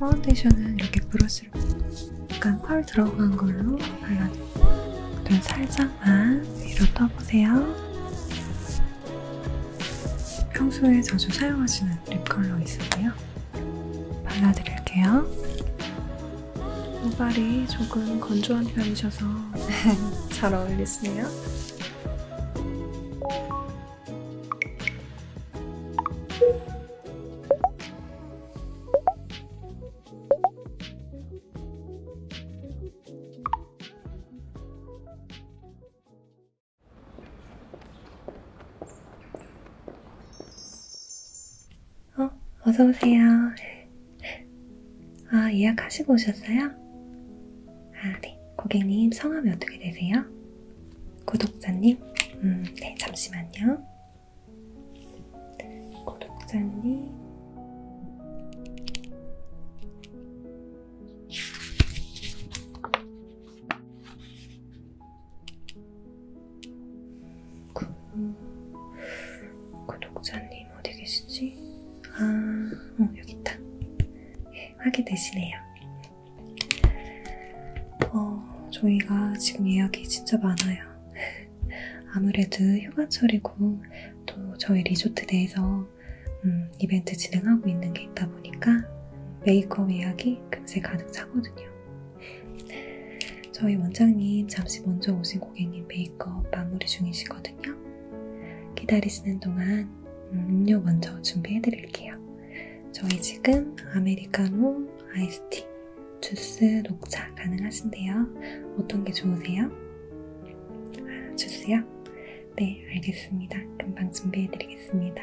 파운데이션은 이렇게 브러쉬로 약간 펄 들어간 걸로 발라주고 눈 살짝만 위로 떠보세요. 평소에 자주 사용하시는 립 컬러 있으세요? 발라드릴게요. 모발이 조금 건조한 편이셔서 잘 어울리시네요. 어, 어서오세요. 네. 아, 예약하시고 오셨어요? 아, 네. 고객님, 성함이 어떻게 되세요? 구독자님? 음, 네, 잠시만요. 구독자님. 구독자님 어디 계시지? 아, 어, 여기 있다. 예, 확인되시네요. 어, 저희가 지금 예약이 진짜 많아요. 아무래도 휴가철이고 또 저희 리조트 내에서 음, 이벤트 진행하고 있는 게 있다 보니까 메이크업 예약이 금세 가득 차거든요. 저희 원장님 잠시 먼저 오신 고객님 메이크업 마무리 중이시거든요. 기다리시는 동안 음료 먼저 준비해드릴게요. 저희 지금 아메리카노, 아이스티, 주스, 녹차 가능하신데요. 어떤 게 좋으세요? 아, 주스요? 네, 알겠습니다. 금방 준비해드리겠습니다.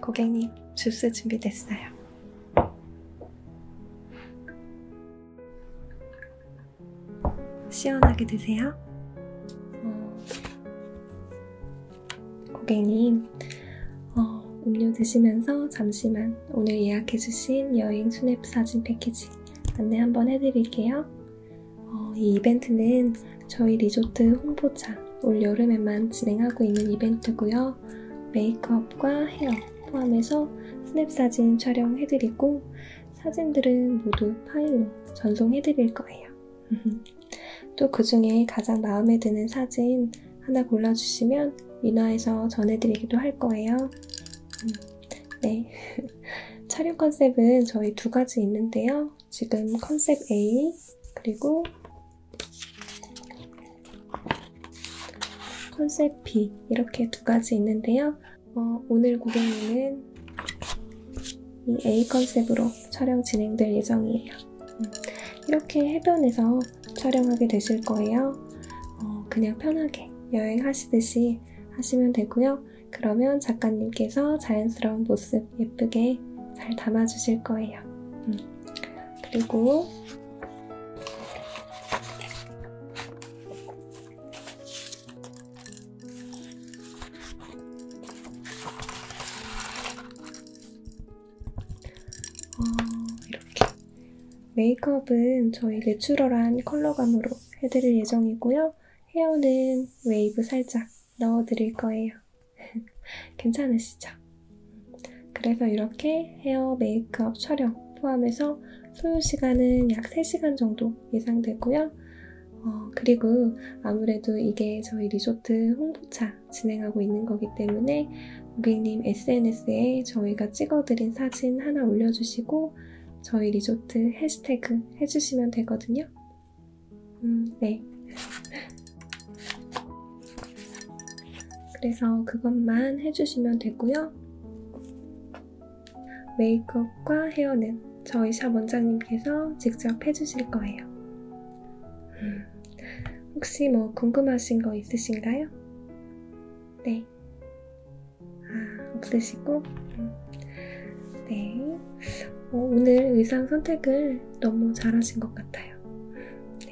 고객님, 주스 준비됐어요. 시원하게 드세요. 어, 고객님, 어, 음료 드시면서 잠시만 오늘 예약해주신 여행 수납 사진 패키지 안내 한번 해드릴게요. 어, 이 이벤트는 저희 리조트 홍보차 올 여름에만 진행하고 있는 이벤트고요. 포함해서 메이크업과 헤어 포함해서 스냅 사진 촬영해드리고 사진들은 모두 파일로 전송해드릴 거예요. 또그 중에 가장 마음에 드는 사진 하나 골라주시면 인화해서 전해드리기도 할 거예요. 음, 네. 촬영 컨셉은 저희 두 가지 있는데요. 지금 컨셉 A, 그리고 컨셉피 이렇게 두 가지 있는데요. 어, 오늘 고객님은 이 A 컨셉으로 촬영 진행될 예정이에요. 음, 이렇게 해변에서 촬영하게 되실 거예요. 어, 그냥 편하게 여행하시듯이 하시면 되고요. 그러면 작가님께서 자연스러운 모습 예쁘게 잘 담아주실 거예요. 음, 그리고 어, 이렇게 메이크업은 저의 내추럴한 컬러감으로 해드릴 예정이고요. 헤어는 웨이브 살짝 넣어드릴 거예요. 괜찮으시죠? 그래서 이렇게 헤어 메이크업 촬영 포함해서 소요시간은 약 3시간 정도 예상되고요. 어, 그리고 아무래도 이게 저희 리조트 홍보차 진행하고 있는 거기 때문에 고객님 SNS에 저희가 찍어드린 사진 하나 올려주시고 저희 리조트 해시태그 해주시면 되거든요. 음, 네. 그래서 그것만 해주시면 되고요. 메이크업과 헤어는 저희 샵 원장님께서 직접 해주실 거예요. 음, 혹시 뭐 궁금하신 거 있으신가요? 네. 아, 없으시고? 음, 네. 어, 오늘 의상 선택을 너무 잘하신 것 같아요.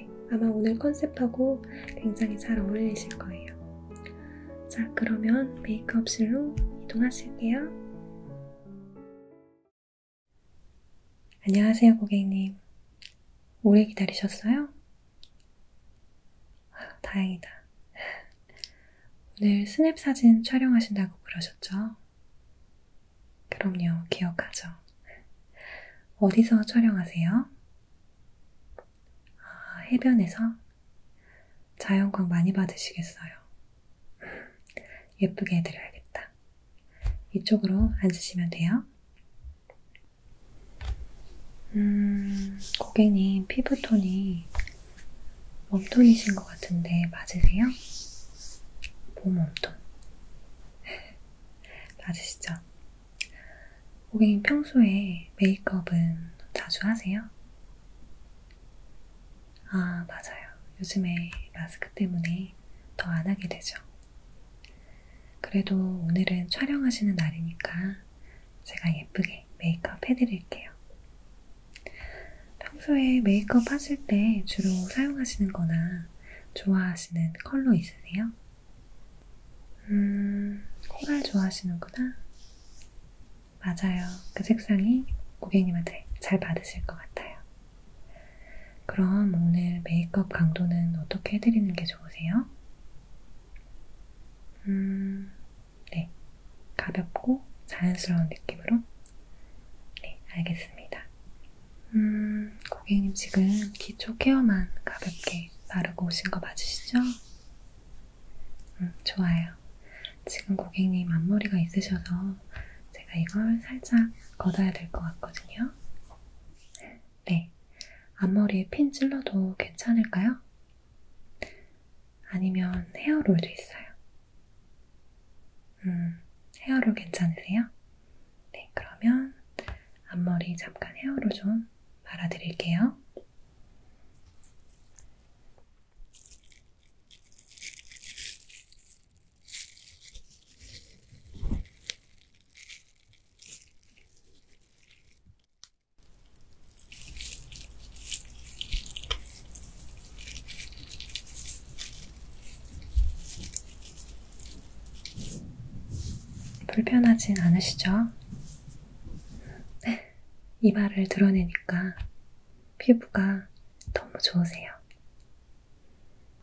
네, 아마 오늘 컨셉하고 굉장히 잘 어울리실 거예요. 자, 그러면 메이크업실로 이동하실게요. 안녕하세요, 고객님. 오래 기다리셨어요? 아, 다행이다. 오늘 스냅 사진 촬영하신다고 그러셨죠? 그럼요, 기억하죠. 어디서 촬영하세요? 해변에서 자연광 많이 받으시겠어요. 예쁘게 해드려야겠다. 이쪽으로 앉으시면 돼요. 음, 고객님 피부톤이 웜톤이신 것 같은데 맞으세요? 봄웜톤 맞으시죠? 고객님 평소에 메이크업은 자주 하세요? 아, 맞아요. 요즘에 마스크 때문에 더 안 하게 되죠. 그래도 오늘은 촬영하시는 날이니까 제가 예쁘게 메이크업 해드릴게요. 평소에 메이크업 하실 때 주로 사용하시는 거나 좋아하시는 컬러 있으세요? 음, 코랄 좋아하시는구나. 맞아요. 그 색상이 고객님한테 잘 맞으실 것 같아요. 그럼 오늘 메이크업 강도는 어떻게 해드리는 게 좋으세요? 음, 네. 가볍고 자연스러운 느낌으로? 네, 알겠습니다. 음, 고객님 지금 기초 케어만 가볍게 이렇게 바르고 오신 거 맞으시죠? 음, 좋아요. 지금 고객님 앞머리가 있으셔서 제가 이걸 살짝 걷어야 될 것 같거든요. 네. 앞머리에 핀 찔러도 괜찮을까요? 아니면 헤어롤도 있어요. 음, 헤어롤 괜찮으세요? 네, 그러면 앞머리 잠깐 헤어롤 좀좀 발아드릴게요. 불편하진 않으시죠? 이마를 드러내니까 피부가 너무 좋으세요.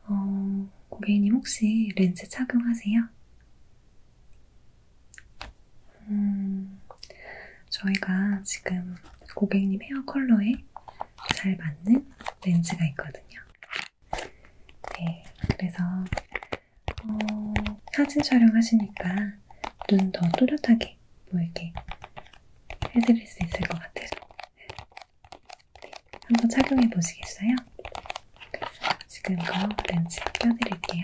어, 고객님 혹시 렌즈 착용하세요? 음, 저희가 지금 고객님 헤어 컬러에 잘 맞는 렌즈가 있거든요. 네, 그래서 어, 사진 촬영하시니까 눈 더 또렷하게 보이게 해드릴 수 있을 것 같아서 네, 한번 착용해 보시겠어요? 지금 이거 렌즈 껴드릴게요.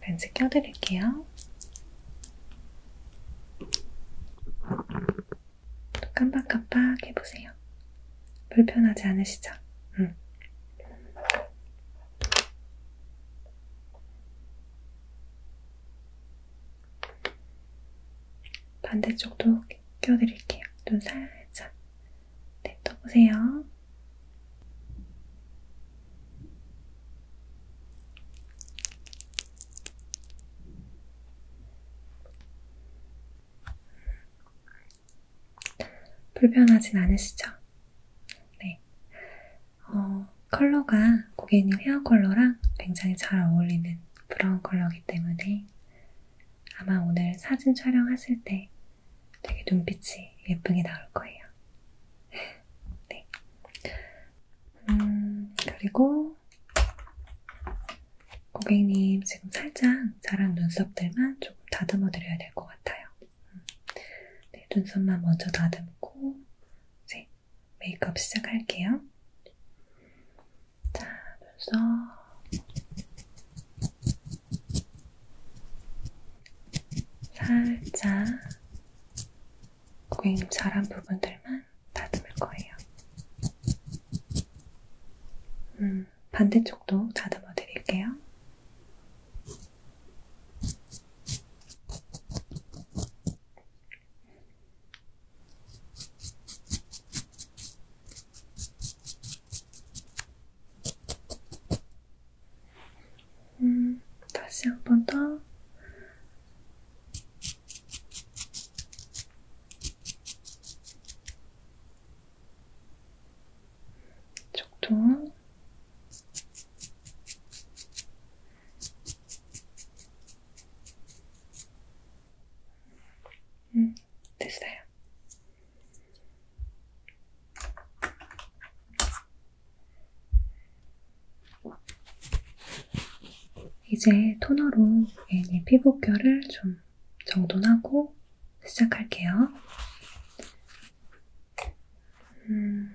렌즈 껴드릴게요. 또 깜빡깜빡 해보세요. 불편하지 않으시죠? 음. 반대쪽도 껴드릴게요. 눈 살짝 뱉어보세요. 네, 불편하진 않으시죠? 네. 어, 컬러가 고객님 헤어 컬러랑 굉장히 잘 어울리는 브라운 컬러이기 때문에 아마 오늘 사진 촬영하실 때 되게 눈빛이 예쁘게 나올 거예요. 네. 음, 그리고 고객님 지금 살짝 자란 눈썹들만 조금 다듬어 드려야 될 것 같아요. 음. 네, 눈썹만 먼저 다듬고 이제 메이크업 시작할게요. 자, 눈썹 살짝 고객님 잘한 부분들만 다듬을 거예요. 음, 반대쪽도 다듬어 드릴게요. 음, 다시 한 번 더. 쪽도. 음, 됐어요. 이제 토너로 고객님 피부결을 좀 정돈하고 시작할게요. 음...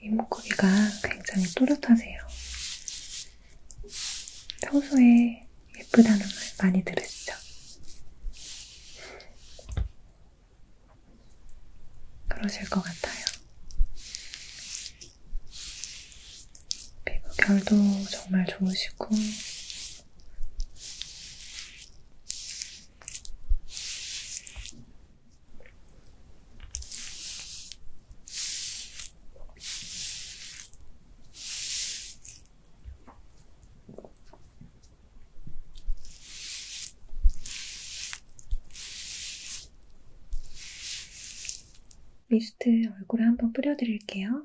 이목구비가 굉장히 또렷하세요. 평소에 예쁘다는 말 많이 들으시죠? 그러실 것 같아요. 피부 결도 정말 좋으시고 미스트 얼굴에 한번 뿌려드릴게요.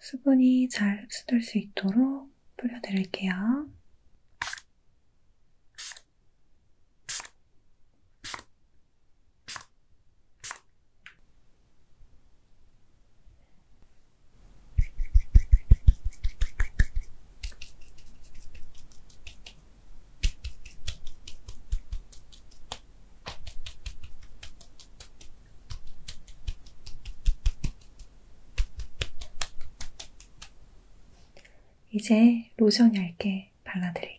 수분이 잘 흡수될 수 있도록 뿌려드릴게요. 이제 로션 얇게 발라드릴게요.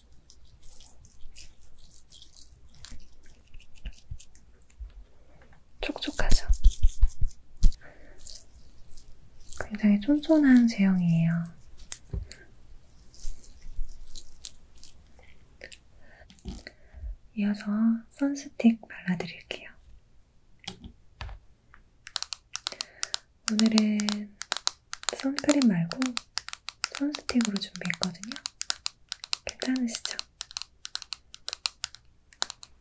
촉촉하죠? 굉장히 쫀쫀한 제형이에요. 이어서 선스틱 발라드릴게요. 오늘은 선크림 말고 손스틱으로 준비했거든요. 괜찮으시죠?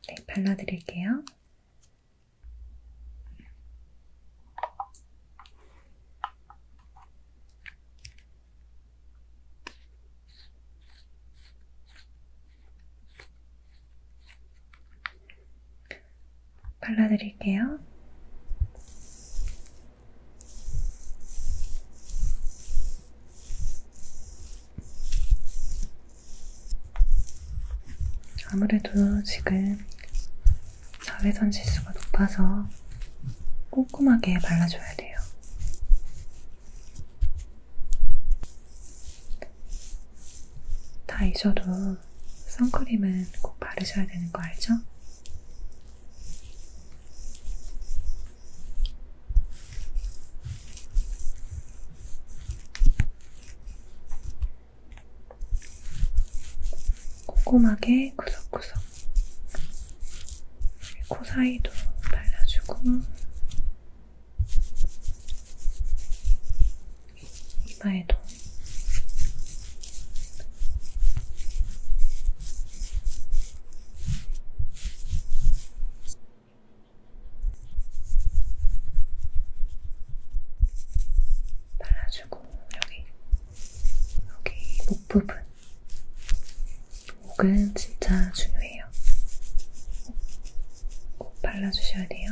네, 발라드릴게요. 발라드릴게요. 아무래도 지금 자외선 지수가 높아서 꼼꼼하게 발라줘야 돼요. 다 잊어도 그래서 선크림은 꼭 바르셔야 되는 거 알죠? 꼼꼼하게 구석구석 코 사이도 발라주고 이마에도 발라주고 여기 여기 목 부분 목은 진짜 중요해요. 꼭 발라주셔야 돼요.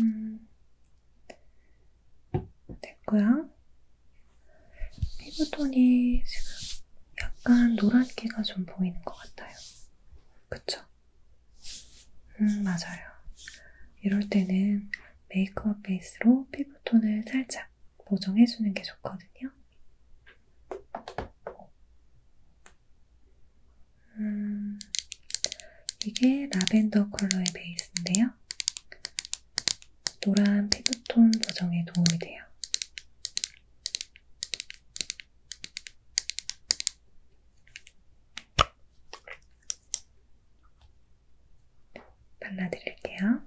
음, 됐고요. 피부톤이 지금 약간 노란기가 좀 보이는 것 같아요. 그쵸? 음, 맞아요. 이럴 때는 메이크업 베이스로 피부톤을 살짝 보정해주는 게 좋거든요. 음, 이게 라벤더 컬러의 베이스인데요. 노란 피부톤 보정에 도움이 돼요. 발라드릴게요.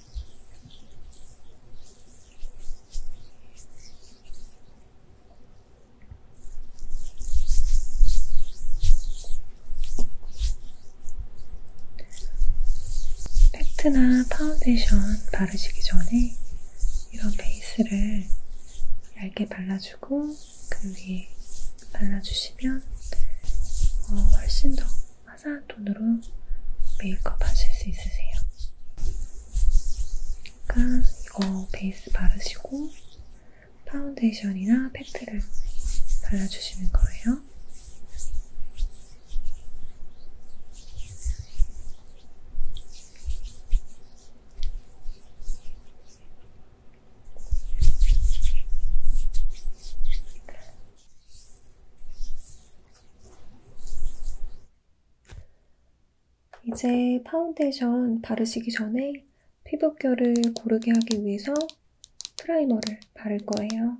팩트나 파운데이션 바르시기 전에 이런 베이스를 얇게 발라주고 그 위에 발라주시면 어, 훨씬 더 화사한 톤으로 메이크업 하실 수 있으세요. 그러니까 이거 베이스 바르시고 파운데이션이나 팩트를 발라주시는 거예요. 이제 파운데이션 바르시기 전에 피부결을 고르게 하기 위해서 프라이머를 바를 거예요.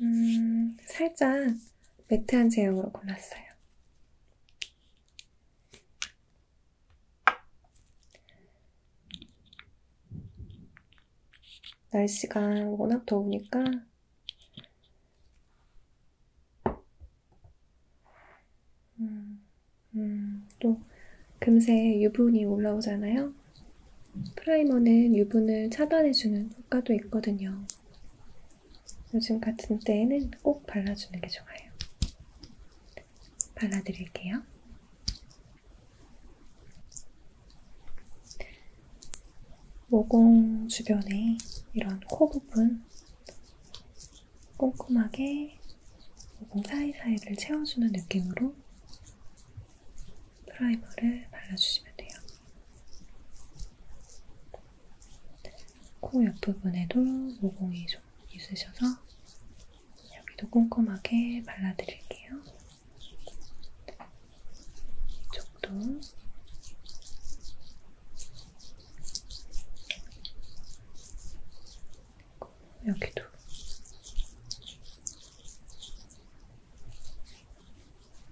음, 살짝 매트한 제형으로 골랐어요. 날씨가 워낙 더우니까 음, 음, 또 금세 유분이 올라오잖아요. 프라이머는 유분을 차단해주는 효과도 있거든요. 요즘 같은 때에는 꼭 발라주는 게 좋아요. 발라드릴게요. 모공 주변에 이런 코 부분 꼼꼼하게 모공 사이사이를 채워주는 느낌으로 프라이머를 발라주시면 돼요. 코 옆부분에도 모공이 좀 있으셔서 여기도 꼼꼼하게 발라드릴게요. 이쪽도 여기도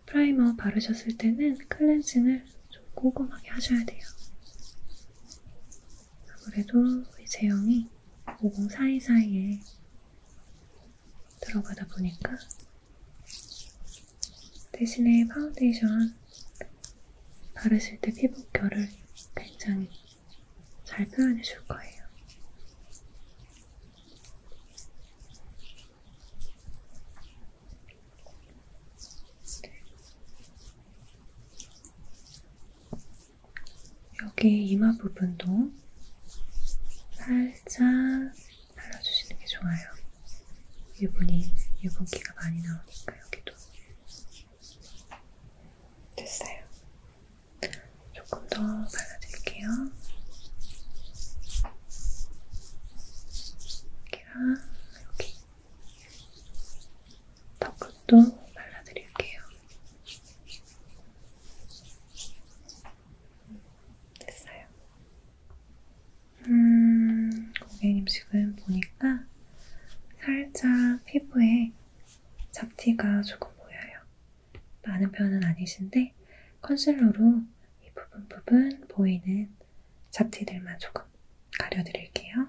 프라이머 바르셨을 때는 클렌징을 좀 꼼꼼하게 하셔야 돼요. 아무래도 이 제형이 모공 사이사이에 들어가다 보니까 대신에 파운데이션 바르실 때 피부 결을 굉장히 잘 표현해 줄 거예요. 여기 이마 부분도 살짝 발라주시는 게 좋아요. 유분이, 유분기가 많이 나오니까 여기도. 됐어요. 조금 더 발라드릴게요. 여기랑 여기. 턱 끝도 발라드릴게요. 됐어요. 음, 고객님 지금 보니까 살짝 피부에 잡티가 조금 보여요. 많은 편은 아니신데 컨실러로 이 부분 부분 보이는 잡티들만 조금 가려드릴게요.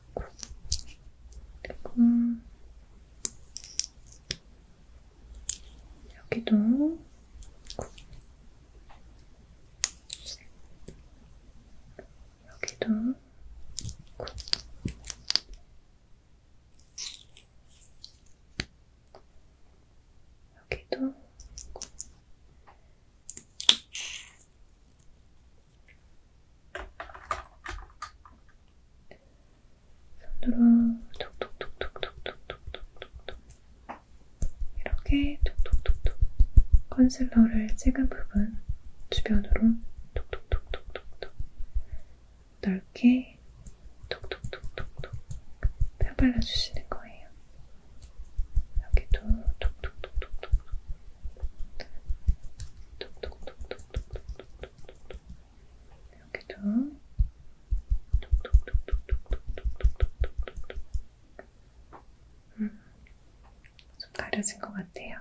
넣고 음. 그리고 여기도 넣고 여기도 넣고 여기도 손으로 톡톡톡톡톡톡톡톡톡 이렇게 톡톡톡톡 컨실러를 찍은 부분 주변으로 톡톡톡톡톡톡 넓게 톡톡톡톡톡 펴발라주시는 거예요. 여기도 톡톡톡톡톡 톡톡톡톡톡톡톡톡톡 이렇게 좀 톡톡톡톡톡톡톡톡톡톡 음, 좀 가려진 것 같아요.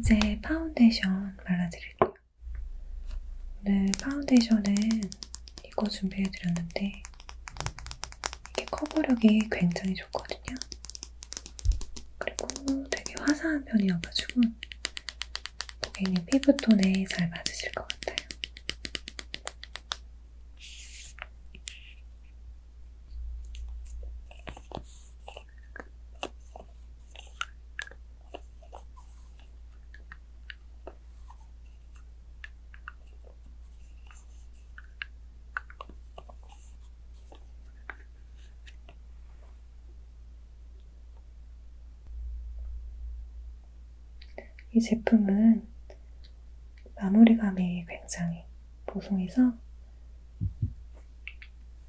이제 파운데이션 발라드릴게요. 오늘 파운데이션은 이거 준비해드렸는데 이게 커버력이 굉장히 좋거든요. 그리고 되게 화사한 편이어가지고 고객님 피부톤에 잘 맞으실 것 같아요. 이 제품은 마무리감이 굉장히 보송해서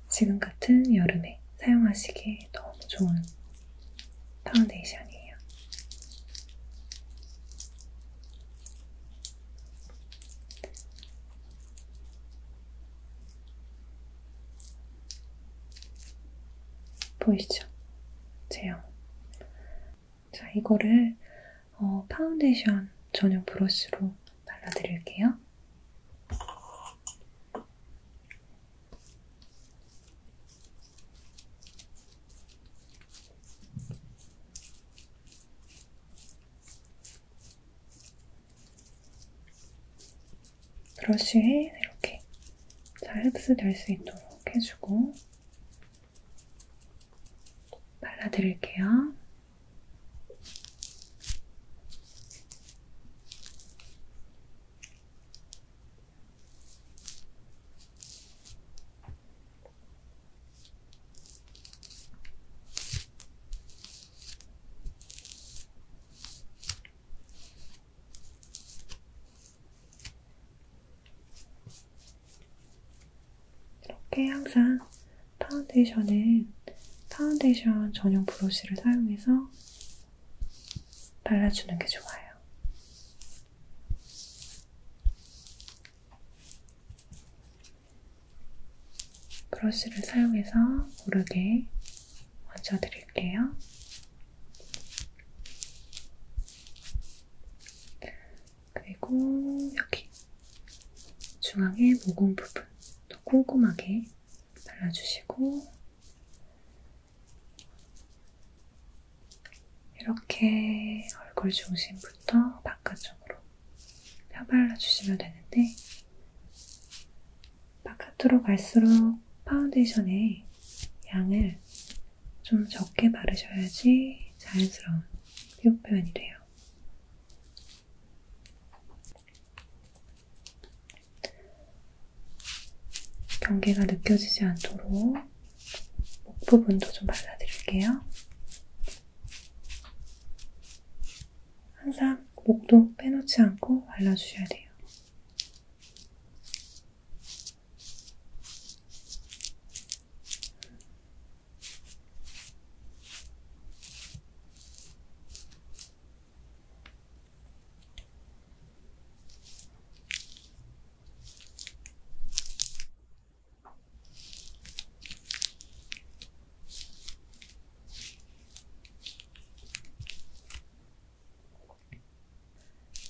지금 같은 여름에 사용하시기에 너무 좋은 파운데이션이에요. 보이시죠? 제형. 자, 이거를 어, 파운데이션 전용 브러쉬로 발라드릴게요. 브러쉬에 이렇게 잘 흡수될 수 있도록 해주고 발라드릴게요. 이렇게 항상 파운데이션은 파운데이션 전용 브러쉬를 사용해서 발라주는 게 좋아요. 브러쉬를 사용해서 고르게 얹어드릴게요. 그리고 여기 중앙의 모공 부분도 꼼꼼하게 발라주시고 이렇게 얼굴 중심부터 바깥쪽으로 펴발라주시면 되는데 바깥으로 갈수록 파운데이션의 양을 좀 적게 바르셔야지 자연스러운 피부 표현이 돼요. 경계가 느껴지지 않도록 목 부분도 좀 발라드릴게요. 항상 목도 빼놓지 않고 발라주셔야 돼요.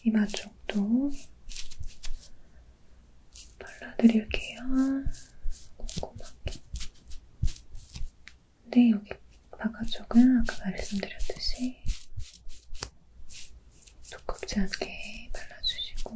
이마 쪽도 발라드릴게요. 꼼꼼하게. 근데 여기 바깥쪽은 아까 말씀드렸듯이 두껍지 않게 발라주시고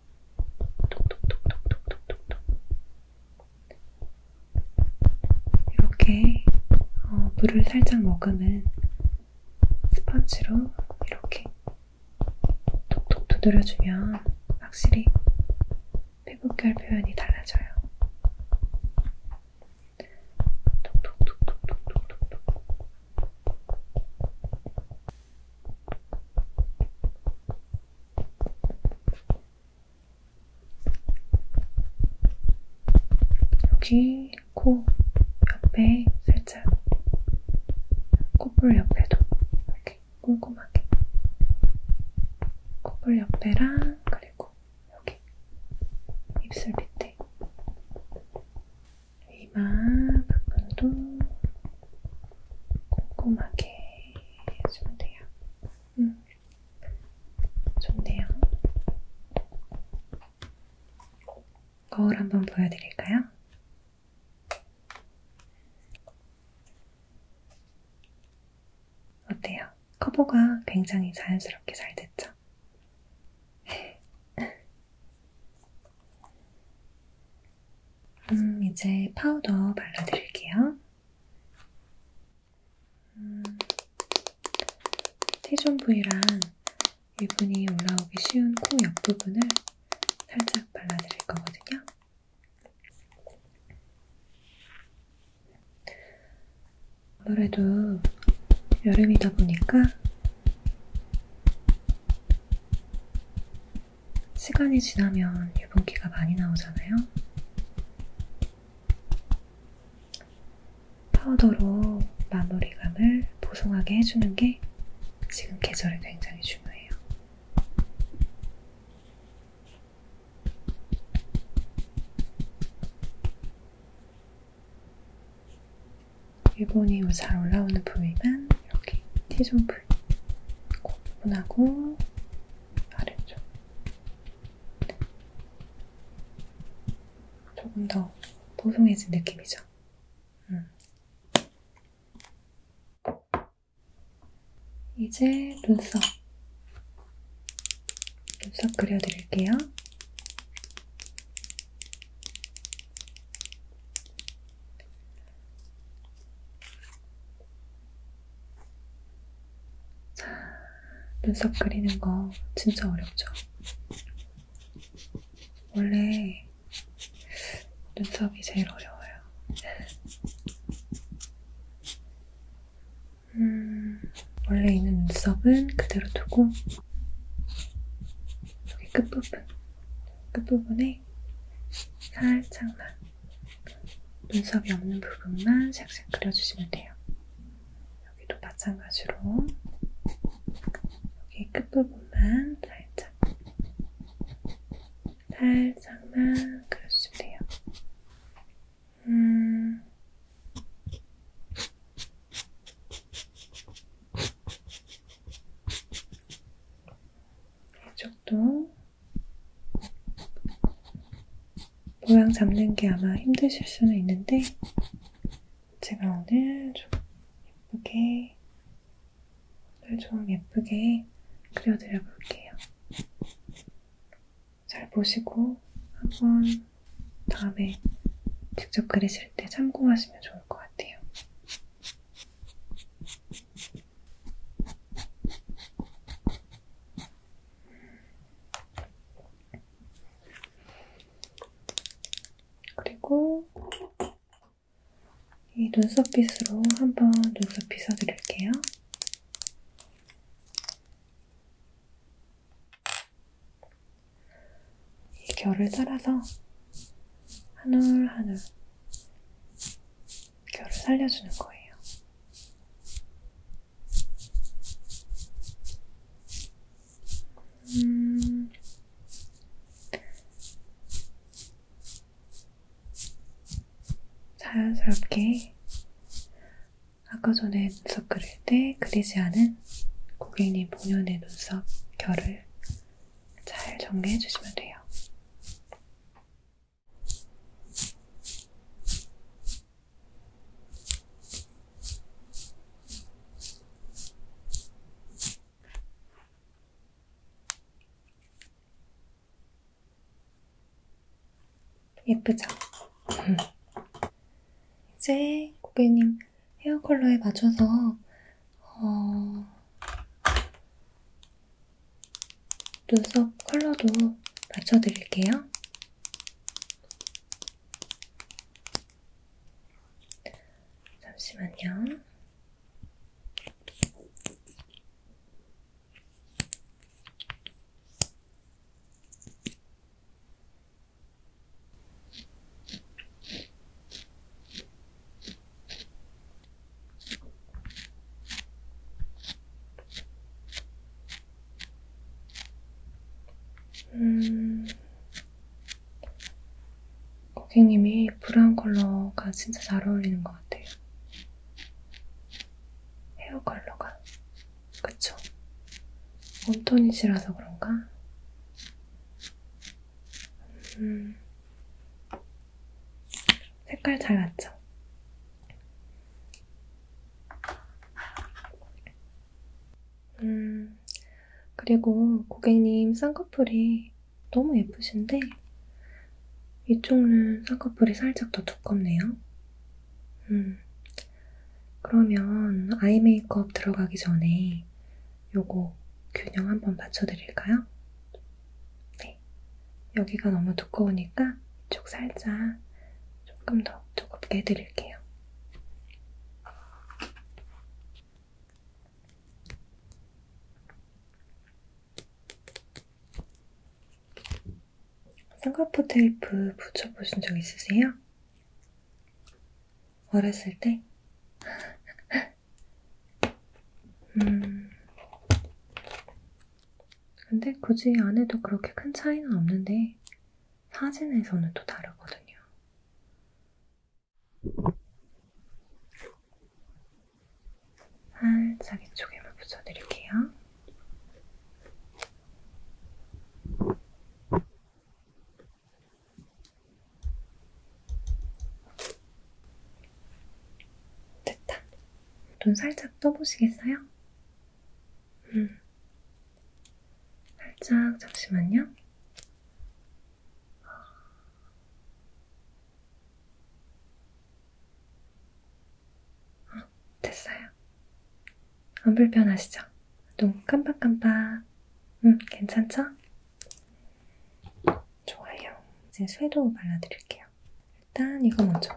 톡톡톡톡톡톡톡 이렇게 어, 물을 살짝 머금은 스펀지로 이렇게 톡톡 두드려주면 확실히 피부결 표현이 달라져요. 톡톡톡톡톡톡톡 여기 코 옆에 살짝 콧볼 옆에도 이렇게 꼼꼼하게 콧볼 옆에랑 그리고 여기 입술 밑에 이마 부분도 꼼꼼하게 해주면 돼요. 음, 좋네요. 거울 한번 보여드릴까요? 어때요? 커버가 굉장히 자연스럽게 잘 됐죠? 음, 이제 파우더 발라드릴게요. 음, T존 부위랑 유분이 올라오기 쉬운 코 옆부분을 살짝 발라드릴 거거든요. 아무래도 여름이다 보니까 시간이 지나면 유분기가 많이 나오잖아요. 파우더로 마무리감을 보송하게 해주는 게 지금 계절에 굉장히 중요해요. 유분이 잘 올라오는 부위만 이렇게 T존 둘 오픈하고 아래쪽 조금 더 보송해진 느낌이죠. 음. 이제 눈썹 눈썹 그려드릴게요. 눈썹 그리는 거 진짜 어렵죠? 원래 눈썹이 제일 어려워요. 음, 원래 있는 눈썹은 그대로 두고 여기 끝부분 끝부분에 그 살짝만 눈썹이 없는 부분만 샥샥 그려주시면 돼요. 여기도 마찬가지로 여기 끝부분만 살짝 살짝만 그려주시면 돼요. 음... 이쪽도 모양 잡는 게 아마 힘드실 수는 있는데 제가 오늘 좀 예쁘게 오늘 좀 예쁘게 그려드려 볼게요. 잘 보시고 한번 다음에 직접 그리실 때 참고하시면 좋을 것 같아요. 그리고 이 눈썹 빗으로 한번 눈썹 빗어드릴게요. 이 결을 따라서 한올한올 결을 살려주는 거예요. 음... 자연스럽게 아까 전에 눈썹 그릴 때 그리지 않은 고객님 본연의 눈썹 결을 잘 정리해 주시면 돼요. 예쁘죠? 이제 고객님 헤어 컬러에 맞춰서 어, 눈썹 컬러도 맞춰드릴게요. 잠시만요. 음, 고객님이 브라운 컬러가 진짜 잘 어울리는 것 같아요. 헤어 컬러가. 그쵸? 웜톤이시라서 그런가? 음, 색깔 잘 맞죠? 음, 그리고 고객님 쌍꺼풀이 너무 예쁘신데 이쪽은 쌍꺼풀이 살짝 더 두껍네요. 음, 그러면 아이 메이크업 들어가기 전에 요거 균형 한번 맞춰드릴까요? 네. 여기가 너무 두꺼우니까 이쪽 살짝 조금 더 두껍게 해드릴게요. 쌍꺼풀 테이프 붙여보신 적 있으세요? 어렸을 때? 음. 근데 굳이 안 해도 그렇게 큰 차이는 없는데 사진에서는 또 다르거든요. 살짝 아, 이쪽에만 붙여드릴게요. 됐다. 눈 살짝 떠보시겠어요? 음. 살짝, 잠시만요. 어, 됐어요. 안 불편하시죠? 눈 깜빡깜빡. 음, 괜찮죠? 좋아요. 이제 섀도우 발라드릴게요. 일단 이거 먼저.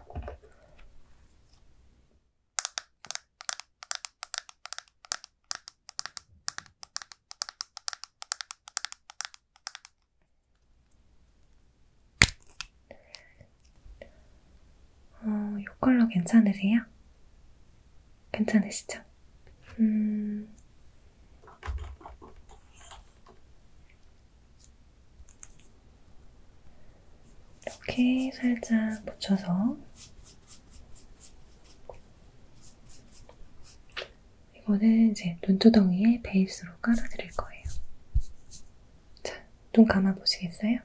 어, 이 컬러 괜찮으세요? 괜찮으시죠? 음, 이렇게 살짝 붙여서 이거는 이제 눈두덩이에 베이스로 깔아드릴 거예요. 자, 눈 감아보시겠어요?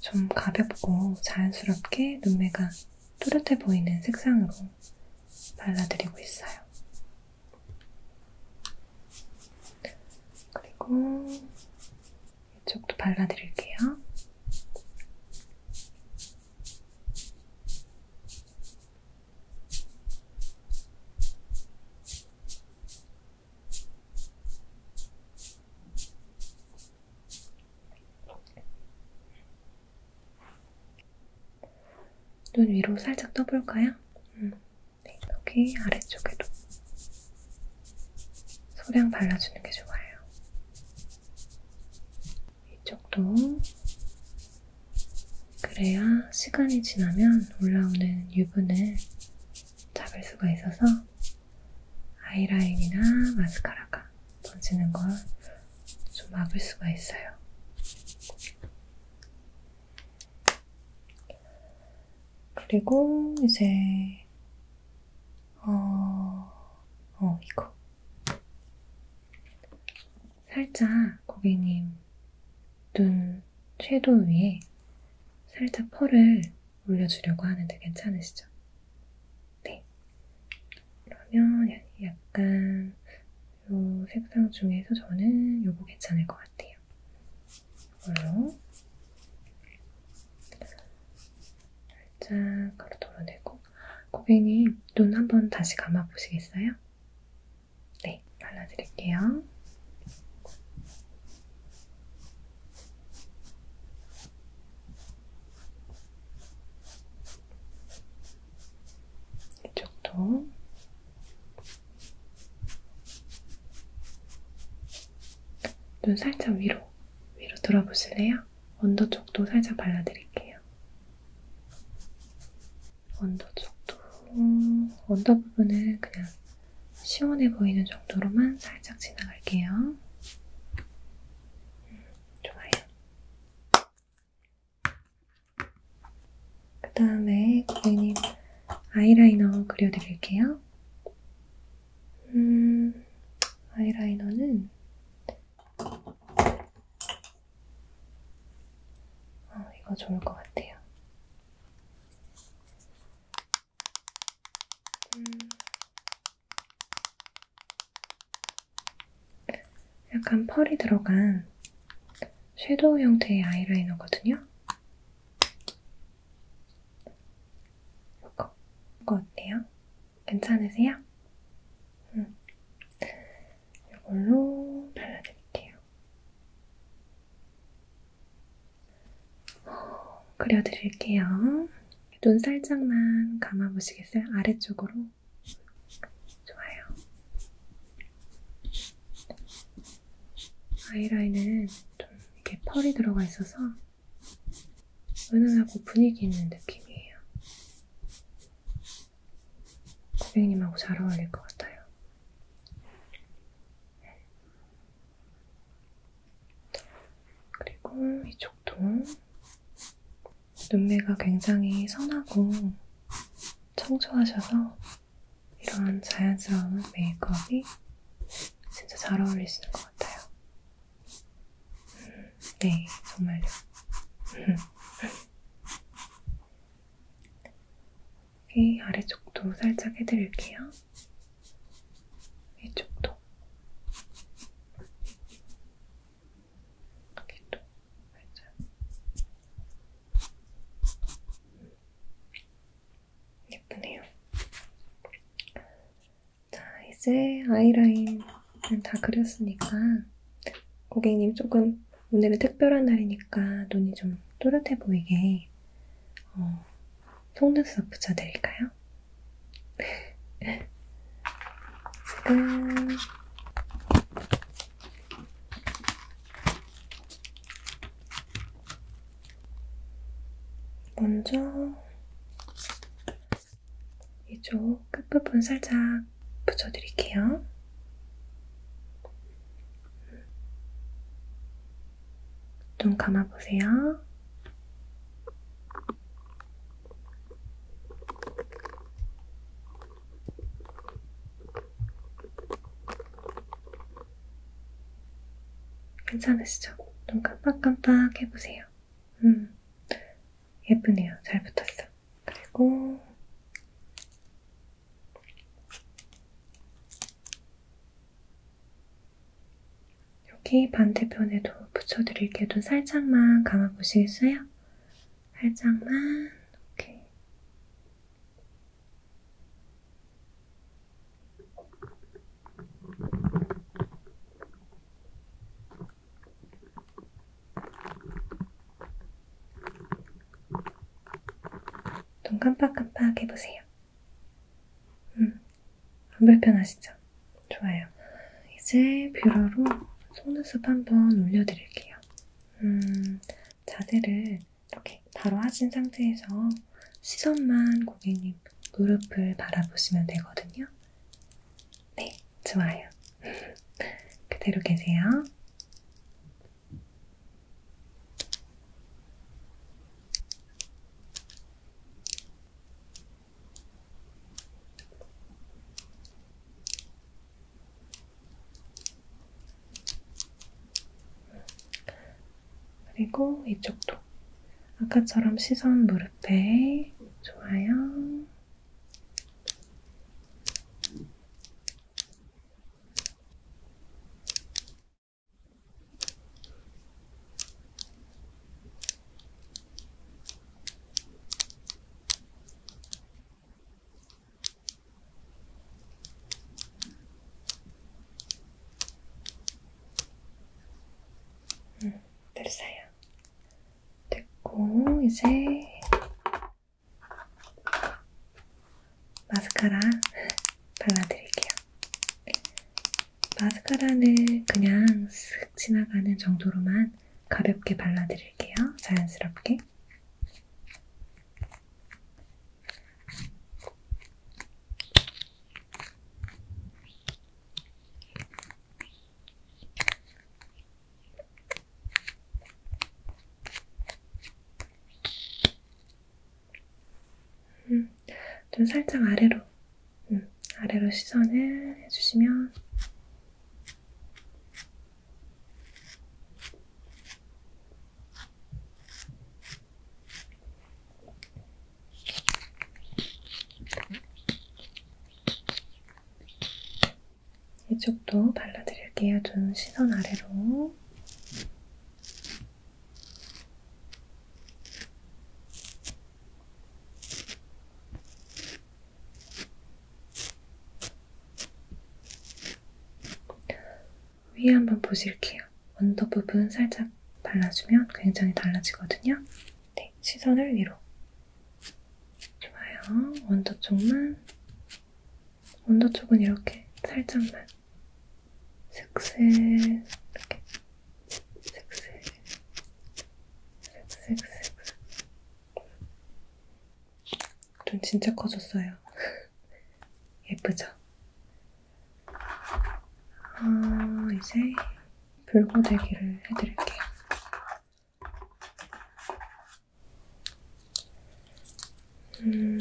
좀 가볍고 자연스럽게 눈매가 또렷해 보이는 색상으로 발라드리고 있어요. 그리고 이쪽도 발라드릴게요. 눈 위로 살짝 떠볼까요? 음. 네, 여기 아래쪽에도 소량 발라주는 게 좋아요. 이쪽도 그래야 시간이 지나면 올라오는 유분을 잡을 수가 있어서 아이라인이나 마스카라가 번지는 걸 좀 막을 수가 있어요. 그리고 이제 어, 어 이거 살짝 고객님 눈 이걸 섀도우 위에 살짝 펄을 올려주려고 하는데 괜찮으시죠? 네. 그러면 약간 이 색상 중에서 저는 요거 괜찮을 것 같아요. 이걸로 살짝 가로 덜어내고 고객님 눈 한번 다시 감아 보시겠어요? 네, 발라드릴게요. 이쪽도 눈 살짝 위로, 위로 들어보실래요? 언더 쪽도 살짝 발라드릴게요. 언더 쪽도 언더 부분은 그냥 시원해 보이는 정도로만 살짝 지나갈게요. 음, 좋아요. 그 다음에 고객님 아이라이너 그려드릴게요. 음, 아이라이너는 어, 이거 좋을 것 같아요. 음. 약간 펄이 들어간 섀도우 형태의 아이라이너거든요. 이거, 이거 어때요? 괜찮으세요? 음. 이걸로 발라드릴게요. 그려드릴게요. 눈 살짝만 감아보시겠어요? 아래쪽으로. 좋아요. 아이라인은 좀 이렇게 펄이 들어가 있어서 은은하고 분위기 있는 느낌이에요. 고객님하고 잘 어울릴 것 같아요. 그리고 이쪽도 눈매가 굉장히 선하고 청초하셔서 이런 자연스러운 메이크업이 진짜 잘 어울리시는 것 같아요. 음, 네, 정말요. 여기 아래쪽도 살짝 해드릴게요. 이쪽도. 여기도 살짝. 예쁘네요. 자, 이제 아이라인은 다 그렸으니까 고객님 조금 오늘은 특별한 날이니까 눈이 좀 또렷해 보이게 어, 속눈썹 붙여드릴까요? 지금 먼저 이쪽 끝부분 살짝 붙여드릴게요. 눈 감아보세요. 괜찮으시죠? 눈 깜빡깜빡 해보세요. 음, 예쁘네요. 잘 붙었어. 그리고 여기 반대편에도 붙여드릴게요. 눈 살짝만 감아보시겠어요? 살짝만, 이렇게. 눈 깜빡깜빡 해보세요. 음, 안 불편하시죠? 좋아요. 이제 뷰러로 속눈썹 한번 올려드릴게요. 음, 자세를 이렇게 바로 하신 상태에서 시선만 고객님 무릎을 바라보시면 되거든요. 네, 좋아요. 그대로 계세요. 그리고 이쪽도 아까처럼 시선 무릎에 좋아요. 음, 됐어요. 됐고, 이제 마스카라 발라드릴게요. 마스카라는 그냥 슥 지나가는 정도로만 가볍게 발라드릴게요. 자연스럽게. 음, 좀 살짝 아래로, 음, 아래로 시선을 해주시면 이쪽도 발라드릴게요. 눈 시선 아래로. 위에 한번 보실게요. 언더 부분 살짝 발라주면 굉장히 달라지거든요. 네, 시선을 위로. 좋아요. 언더 쪽만. 언더 쪽은 이렇게 살짝만. 색색 이렇게 색색 색색색 눈 진짜 커졌어요. 예쁘죠? 아, 이제 불고데기를 해드릴게요. 음.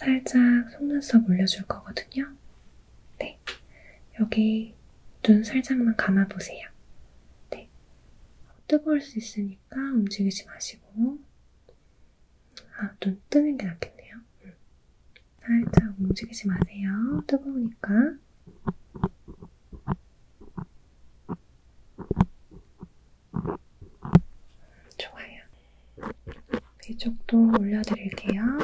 살짝 속눈썹 올려줄 거거든요. 네. 여기 눈 살짝만 감아보세요. 네. 뜨거울 수 있으니까 움직이지 마시고 아, 눈 뜨는 게 낫겠네요. 응. 음. 살짝 움직이지 마세요. 뜨거우니까. 좋아요. 이쪽도 올려드릴게요.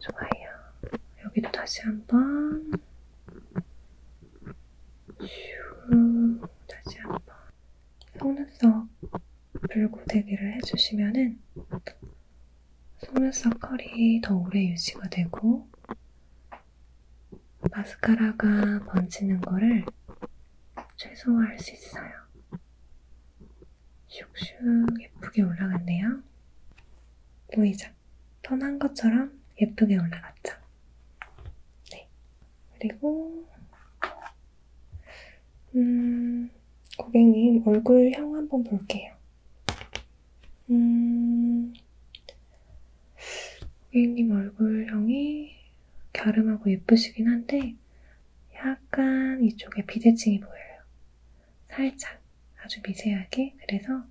좋아요. 여기도 다시 한번 슈 다시 한번 속눈썹 불고데기를 해주시면은 속눈썹 컬이 더 오래 유지가 되고 마스카라가 번지는 거를 최소화할 수 있어요. 슉슉 예쁘게 올라갔네요. 보이죠? 턴한 것처럼 예쁘게 올라갔죠. 네. 그리고 음, 고객님 얼굴형 한번 볼게요. 음, 고객님 얼굴형이 갸름하고 예쁘시긴 한데 약간 이쪽에 비대칭이 보여요. 살짝 아주 미세하게 그래서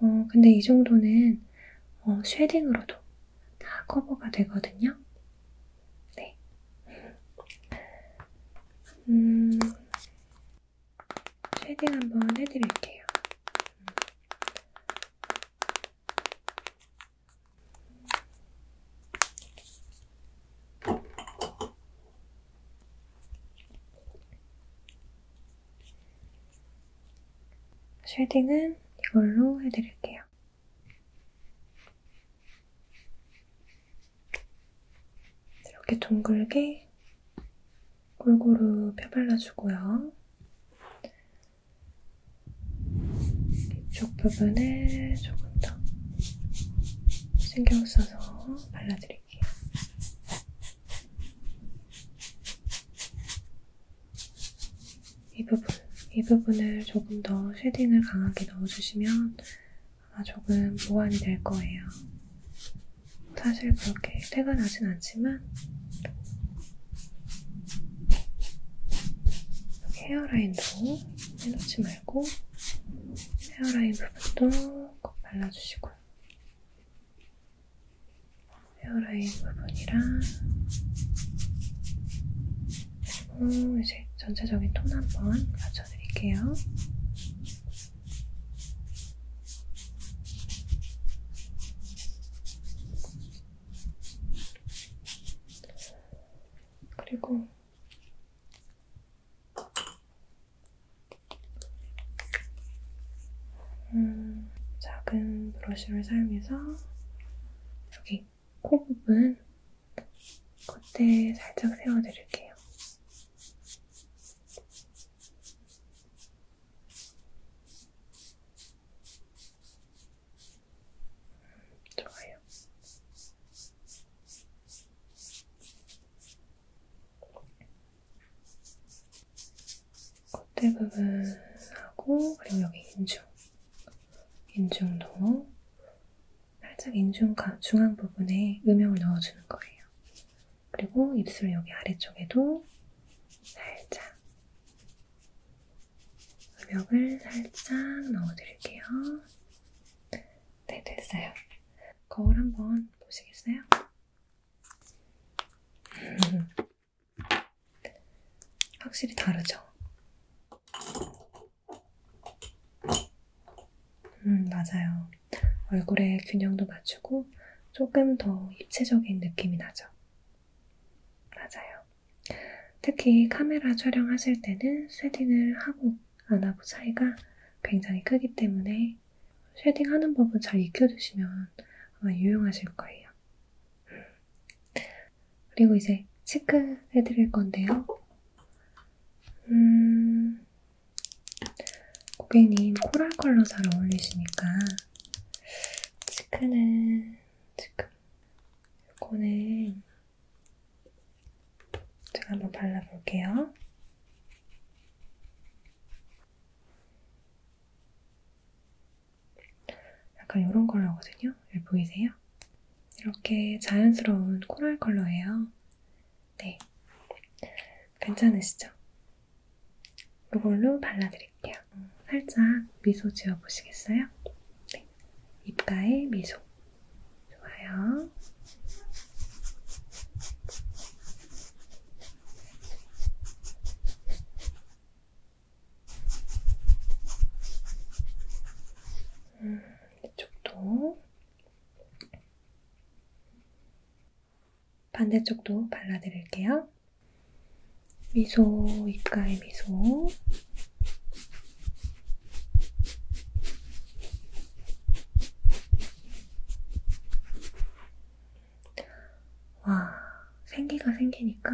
어, 근데 이 정도는 어, 쉐딩으로도 다 커버가 되거든요. 네. 음, 쉐딩 한번 해드릴게요. 쉐딩은 이걸로 해드릴게요. 이렇게 둥글게 골고루 펴발라주고요. 이쪽 부분에 조금 더 신경 써서 발라드릴게요. 이 부분, 이 부분을 조금 더 쉐딩을 강하게 넣어주시면 아마 조금 보완이 될 거예요. 사실 그렇게 태가 나진 않지만 헤어라인도 빼놓지 말고 헤어라인 부분도 꼭 발라주시고요. 헤어라인 부분이랑 그리고 이제 전체적인 톤 한 번 맞춰드릴게요. 그리고 음, 작은 브러쉬를 사용해서 여기 코 부분 겉에 살짝 세워드릴게요. 음, 좋아요. 콧대 부분하고 그리고 여기 인중, 인중도 살짝 인중과 중앙 부분에 음영을 넣어주는 거예요. 그리고 입술 여기 아래쪽에도 살짝 음영을 살짝 넣어드릴게요. 네, 됐어요. 거울 한번 보시겠어요? 확실히 다르죠? 음, 맞아요. 얼굴의 균형도 맞추고 조금 더 입체적인 느낌이 나죠. 맞아요. 특히 카메라 촬영하실 때는 쉐딩을 하고 안 하고 차이가 굉장히 크기 때문에 쉐딩하는 법은 잘 익혀두시면 아마 유용하실 거예요. 그리고 이제 체크해드릴 건데요. 음, 고객님 코랄 컬러 잘 어울리시니까 체크는 지금 이거는 제가 한번 발라볼게요. 약간 이런 컬러거든요. 여기 보이세요? 이렇게 자연스러운 코랄 컬러예요. 네. 괜찮으시죠? 이걸로 발라드릴게요. 살짝 미소 지어보시겠어요? 네. 입가에 미소. 좋아요. 음, 이쪽도 반대쪽도 발라드릴게요. 미소, 입가에 미소. 와, 생기가 생기니까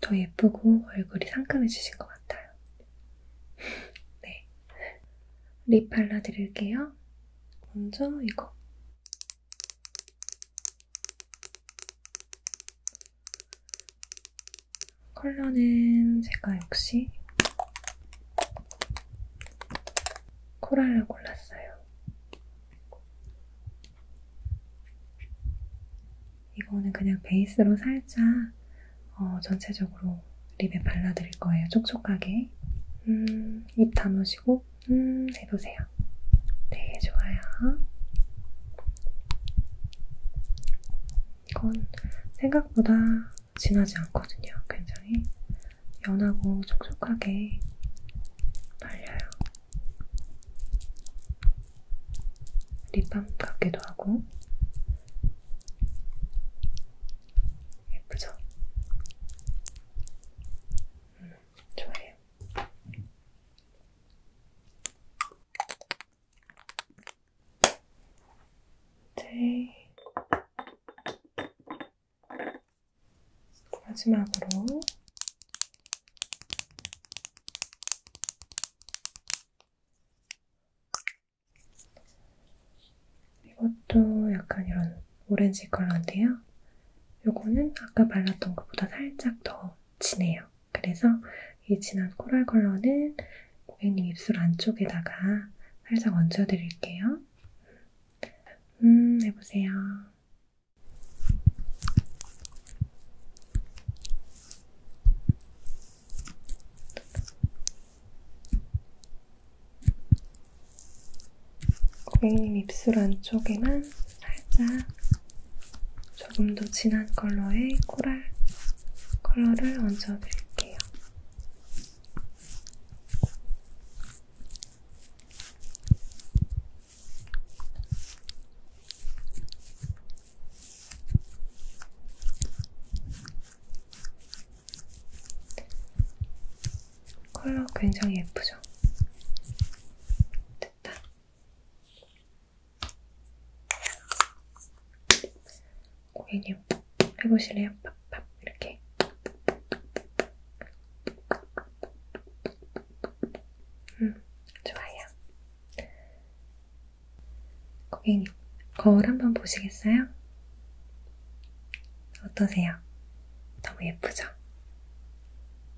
더 예쁘고 얼굴이 상큼해지신 것 같아요. 네. 립 발라드릴게요. 먼저 이거. 컬러는 제가 역시 코랄라 골랐어요. 이거는 그냥 베이스로 살짝 어, 전체적으로 립에 발라드릴 거예요. 촉촉하게. 음, 입 다무시고 음, 해보세요. 되게 좋아요. 이건 생각보다 진하지 않거든요. 굉장히 연하고 촉촉하게 발려요. 립밤 같기도 하고 예쁘죠? 음, 좋아요. 네. 마지막으로 이것도 약간 이런 오렌지 컬러인데요. 요거는 아까 발랐던 것보다 살짝 더 진해요. 그래서 이 진한 코랄 컬러는 고객님 입술 안쪽에다가 살짝 얹어드릴게요. 음, 해보세요. 고객님 입술 안쪽에만 살짝 조금 더 진한 컬러의 코랄 컬러를 얹어드릴게요. 컬러 굉장히 예쁘죠? 됐다. 고객님, 해보실래요? 팍팍 이렇게. 음, 좋아요. 고객님, 거울 한번 보시겠어요? 어떠세요? 너무 예쁘죠?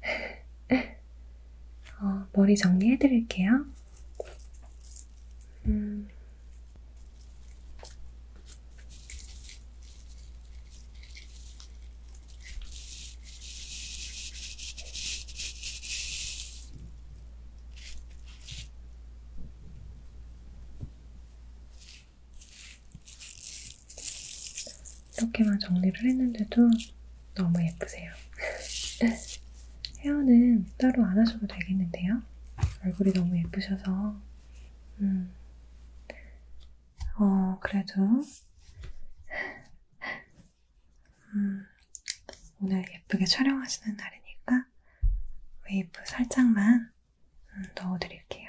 어, 머리 정리해드릴게요. 음, 이렇게만 정리를 했는데도 너무 예쁘세요. 헤어는 따로 안 하셔도 되겠는데요? 얼굴이 너무 예쁘셔서 음, 어, 그래도 음, 오늘 예쁘게 촬영하시는 날이니까 웨이브 살짝만 음, 넣어드릴게요.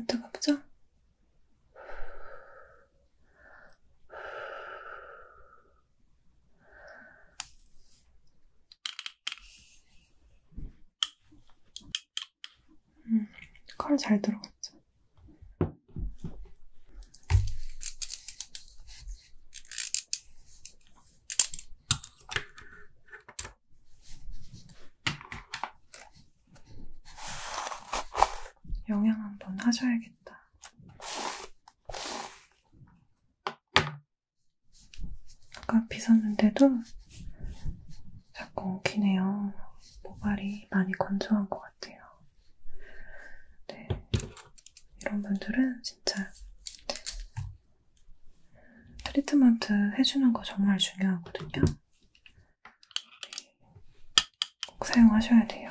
안 뜨겁죠? 음, 컬 잘 들어갔죠? 영양 한 번 하셔야겠다. 아까 빗었는데도 자꾸 엉키네요. 모발이 많이 건조한 것 같아요. 네. 이런 분들은 진짜 트리트먼트 해주는 거 정말 중요하거든요. 네. 꼭 사용하셔야 돼요.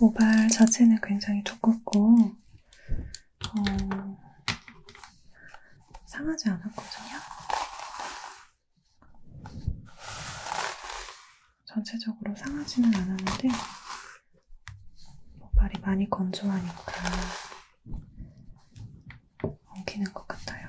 모발 자체는 굉장히 두껍고 어, 상하지 않았거든요. 전체적으로 상하지는 않았는데 모발이 많이 건조하니까 엉키는 것 같아요.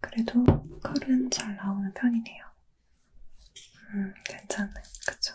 그래도 컬은 잘 나오는 편이네요. 음, 괜찮네. 그쵸?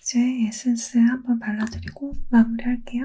이제 에센스 한번 발라드리고 마무리할게요.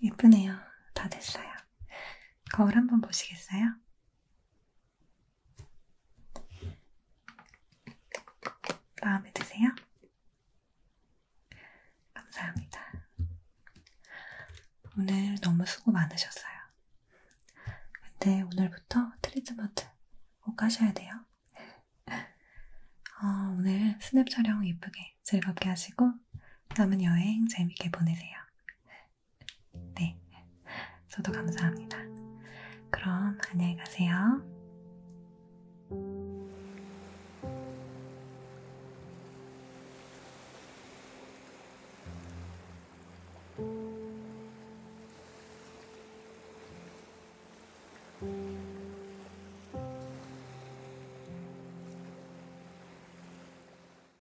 예쁘네요. 다 됐어요. 거울 한번 보시겠어요? 마음에 드세요? 감사합니다. 오늘 너무 수고 많으셨어요. 근데 오늘부터 트리트먼트 꼭 하셔야 돼요. 어, 오늘 스냅 촬영 예쁘게 즐겁게 하시고 남은 여행 재밌게 보내세요. 네, 저도 감사합니다. 그럼 안녕히 가세요.